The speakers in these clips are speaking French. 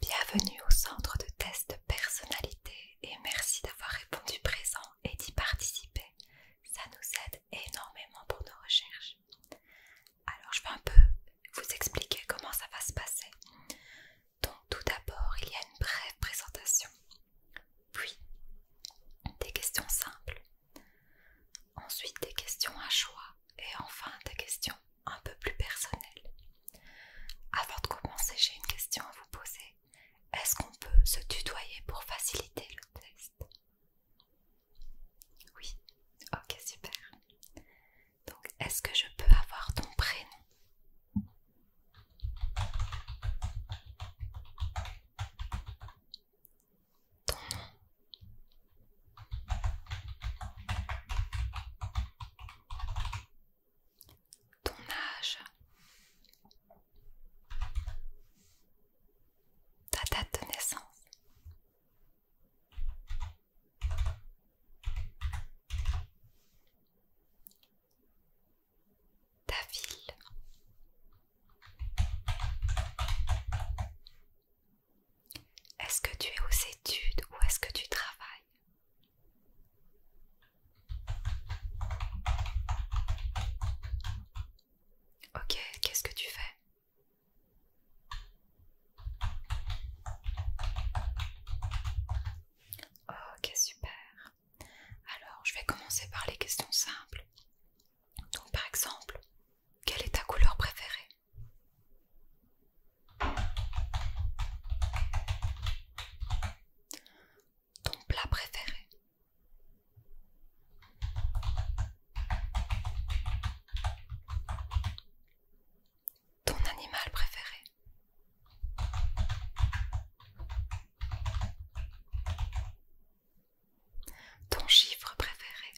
Bienvenue au centre de tests de personnalité et merci d'avoir répondu présent et d'y participer. Ça nous aide énormément pour nos recherches. Alors je vais un peu vous expliquer comment ça va se passer. Donc tout d'abord il y a une brève présentation puis, des questions simples. Ensuite, des questions à choix. Et enfin, des questions un peu plus personnelles. Avant de commencer, j'ai une question à vous poser. Est-ce qu'on peut se tutoyer pour faciliter le test Oui, ok, super. Donc, est-ce que je peux avoir ton prénom ton Ton âge. Ta date de naissance ta ville. Est-ce que tu es aux études ou est-ce que tu travailles Ok, qu'est-ce que tu fais Ok, super. Alors, je vais commencer par les questions simples. Donc, par exemple, quelle est ta couleur préférée Ton plat préféré Ton animal préféré ton chiffre préféré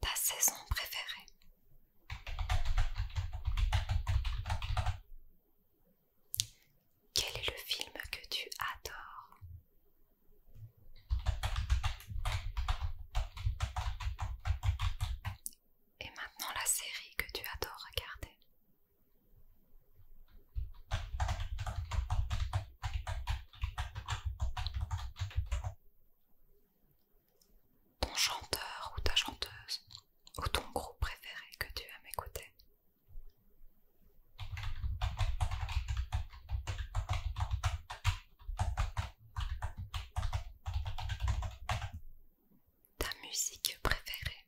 Ta saison préférée Quel est le film que tu adores et maintenant la série que tu adores regarder. Ton chanteur ou ta chanteuse ou ton groupe préféré que tu aimes écouter ta musique préférée.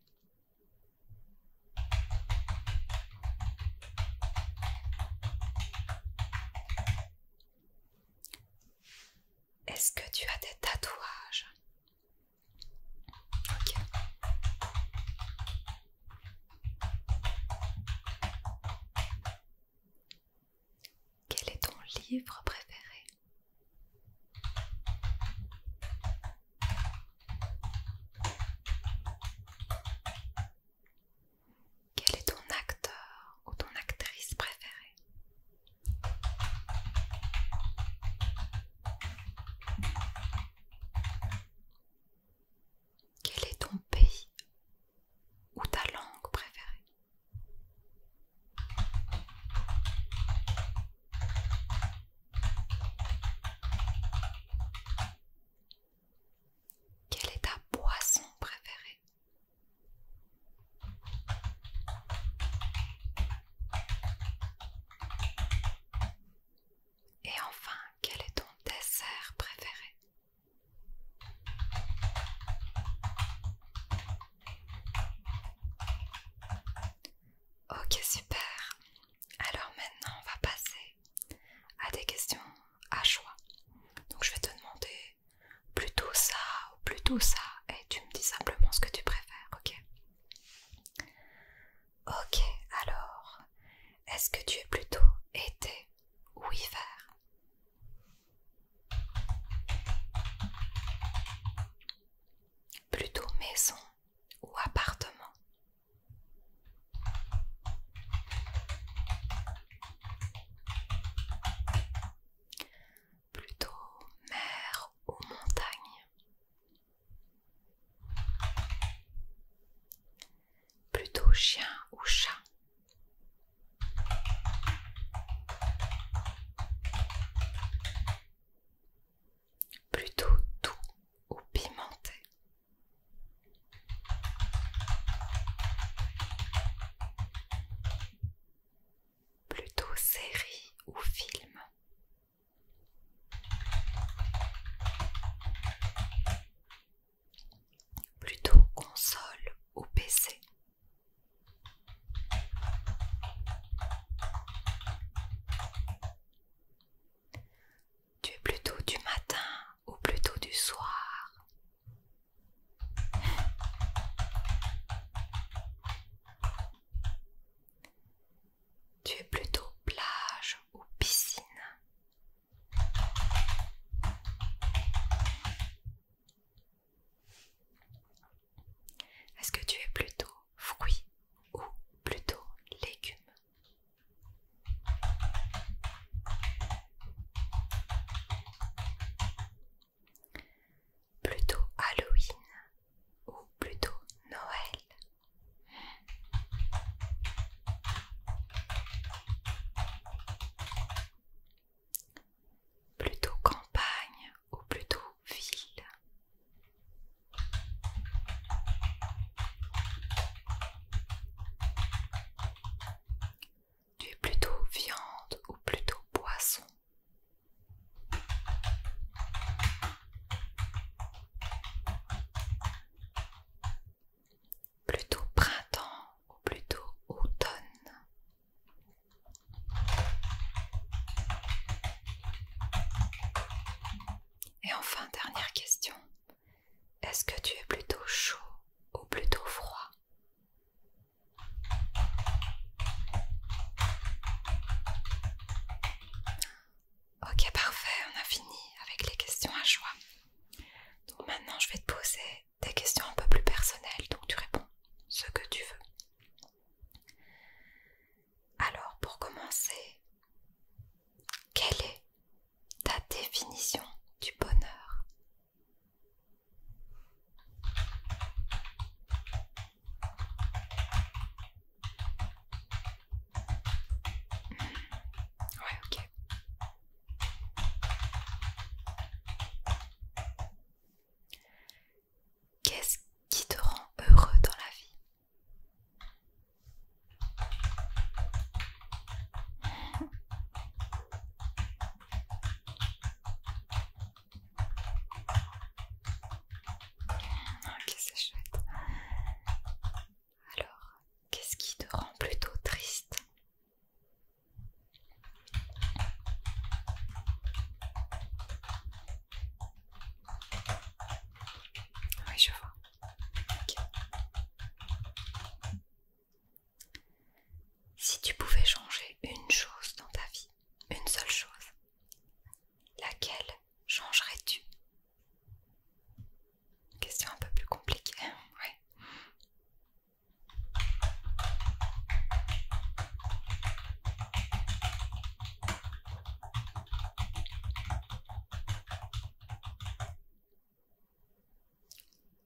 Est-ce que tu as des tatouages quel est ton livre préféré Quel est ton acteur ou ton actrice préférée Quel est ton pays ou ta langue préférée quelle est ta boisson préférée Et enfin, quel est ton dessert préféré Ok, super. Alors maintenant, on va passer à des questions à choix. Donc je vais te demander plutôt ça ou plutôt ça et tu me dis simplement ce que tu préfères, ok Ok, alors, est-ce que tu es plutôt été ou hiver Plutôt maison ou appartement. Plutôt mer ou montagne. Plutôt chien ou chat. Plutôt doux ou pimenté. Plutôt série ou film plutôt console ou PC. Tu es plutôt du matin ou plutôt du soir Tu es plutôt plage ou piscine est-ce que tu es plutôt fruit ou plutôt légume Plutôt Halloween ou plutôt Noël Plutôt campagne ou plutôt ville Tu es plutôt viande ou plutôt poisson plutôt printemps ou plutôt automne. Et enfin, dernière question. Est-ce que tu es plutôt chaud ou plutôt froid Ok, parfait, on a fini avec les questions à choix. Donc maintenant, je vais te poser des questions un peu plus personnelles, donc tu réponds ce que tu veux. Alors, pour commencer, quelle est ta définition du bonheur Ouais, ok. Qu'est-ce qui te rend heureux dans la vie Ok, c'est chouette. Alors, qu'est-ce qui te rend plutôt triste Oui, je vois. Si tu pouvais changer une chose dans ta vie, une seule chose, laquelle changerais-tu Question un peu plus compliquée,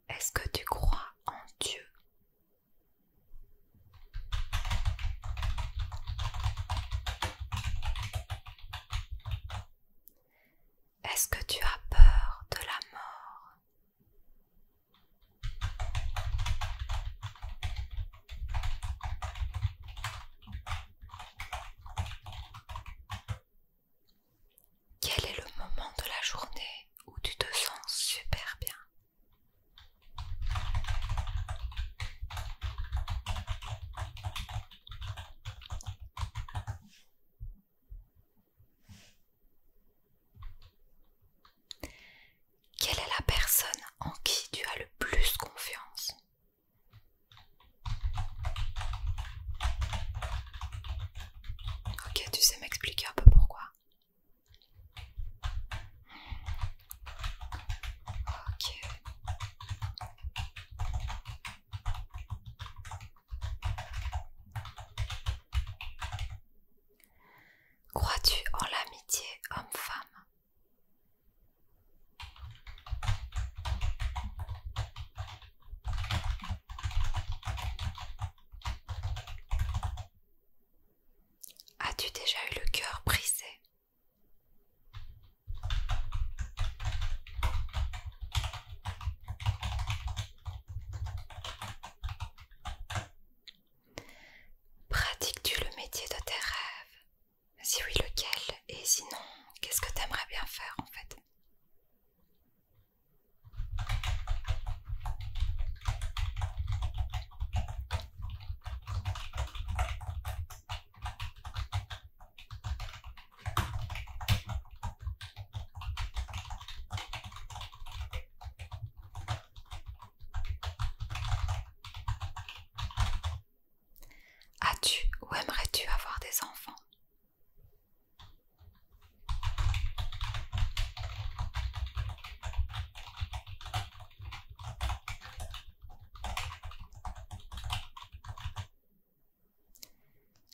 Est-ce que tu crois en Dieu est-ce que tu as peur de la mort Quel est le moment de la journée où tu te sens super bien quelle est la personne en qui tu as le plus confiance Ok, tu sais m'expliquer un peu pourquoi Ok. Crois-tu en l'amitié homme-femme As-tu déjà eu le cœur brisé Pratiques-tu le métier de tes rêves Si oui, lequel Et sinon, qu'est-ce que t'aimerais bien faire en fait As-tu ou aimerais-tu avoir des enfants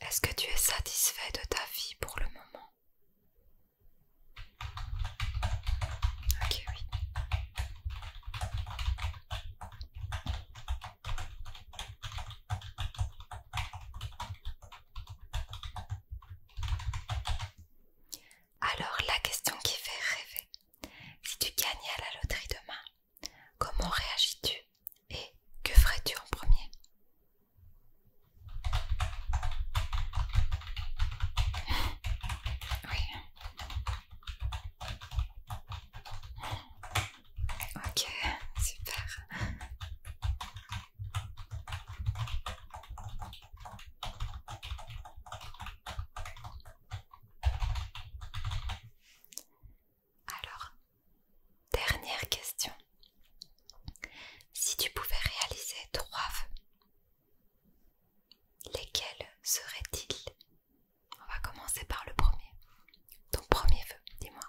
est-ce que tu es satisfait de ta vie pour le moment Ok, oui. Alors la question qui fait rêver. Si tu gagnais à la loterie demain, Comment réagis-tu et que ferais-tu en premier Ok, super. Alors, dernière question. Si tu pouvais réaliser trois vœux, lesquels seraient-ils On va commencer par le premier. Ton premier vœu, dis-moi.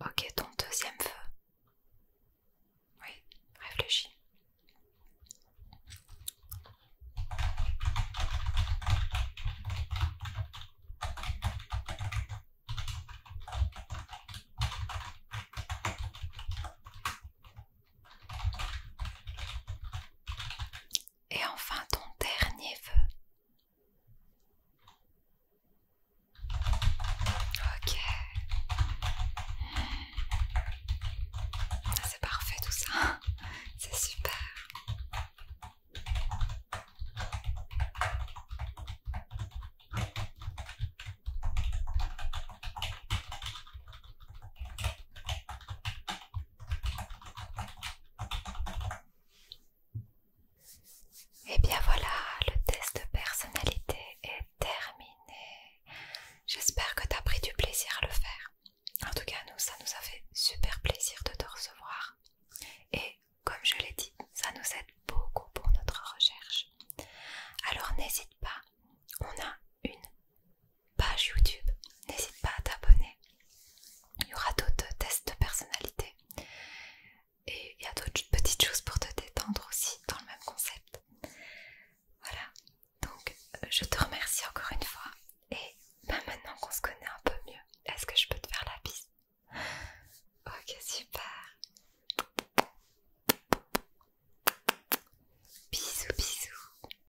Ok, ton deuxième feu. Oui, réfléchis. Et enfin ton dernier vœu. Ok. Ah, c'est parfait tout ça. C'est super. Et eh bien voilà, le test de personnalité est terminé. J'espère que tu as pris du plaisir à le faire. En tout cas, nous, ça nous a fait super plaisir de te recevoir. Et comme je l'ai dit, ça nous aide beaucoup pour notre recherche. Alors n'hésite pas, on a une page YouTube. N'hésite pas à t'abonner. Il y aura d'autres tests de personnalité. Et il y a d'autres petites choses pour te détendre aussi dans le même concept. Voilà. Donc, euh, je te remercie encore une fois. Et maintenant qu'on se connaît un peu mieux, est-ce que je peux te faire la bise Ok, super. Bisous, bisous.